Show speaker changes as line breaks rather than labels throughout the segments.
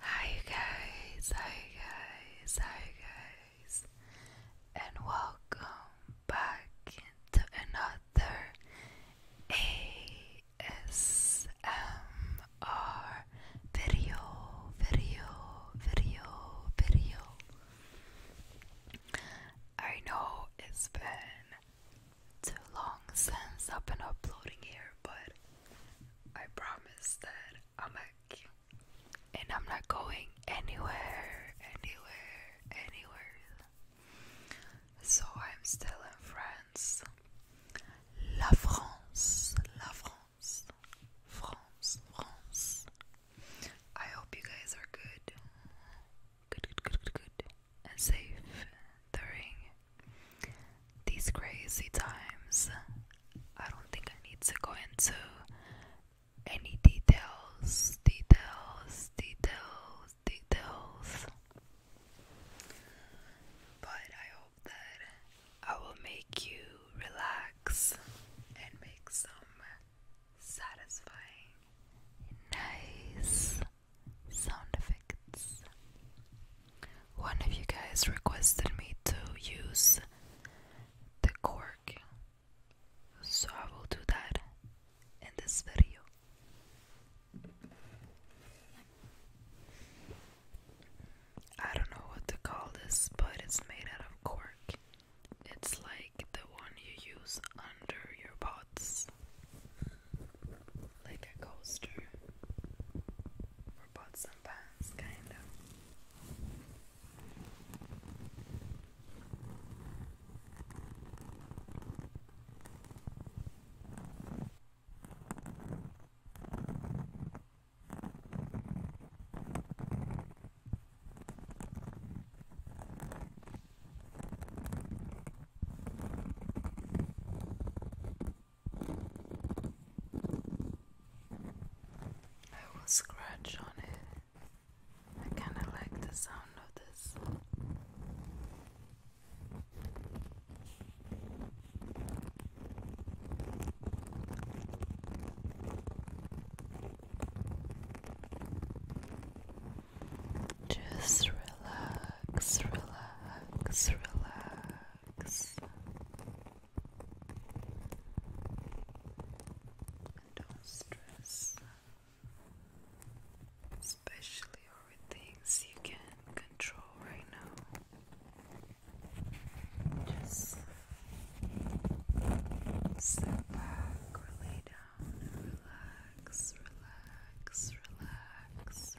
Hi guys, hi guys, hi guys, and welcome back to another ASMR video, video, video, video. I know it's been too long since I've been uploading here, but I promise that I'm back and I'm not going anywhere, anywhere, anywhere. So I'm still in France. La France, La France, France, France. I hope you guys are good. Good, good, good, good, good safe during these crazy times. I don't think I need to go into any details, details, details, details. But I hope that I will make you relax and make some satisfying, nice sound effects. One of you guys requested me to use the cork, so I will do that in this video. I don't know what to call this, but it's made out of cork. It's like the one you use under your pots, like a coaster for pots and pans, kind of. I will scratch on it. I kind of like the sound of this. Just relax, relax, relax. don't stress, especially over things you can control right now. Just Sit back lay down relax, relax, relax, relax.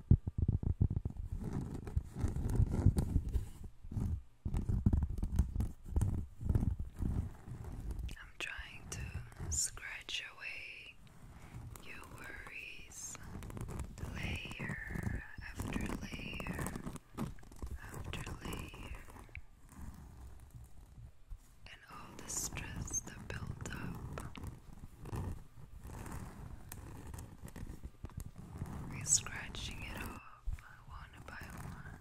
I'm trying to scratch away your worries layer after layer after layer and all the stress that built up we're scratching it off one by one.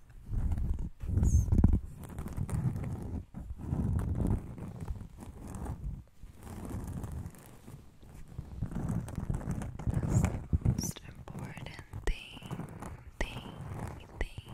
That's the most important thing, thing, thing, thing.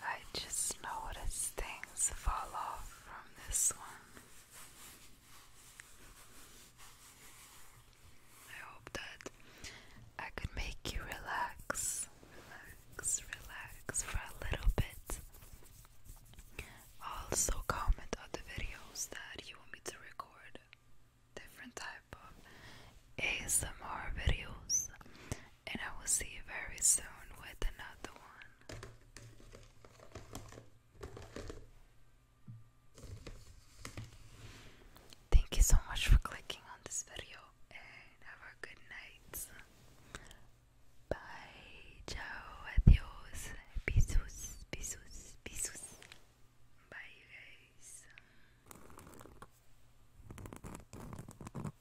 I just noticed things fall off from this one. I hope that I could make you relax, relax, relax for a little bit. Also, comment on the videos that you want me to record, different type of ASMR videos and I will see you very soon with another one. Thank you so much for clicking on this video and have a good night. Bye, ciao, adios, bisus, bisus, bisus. Bye, you guys.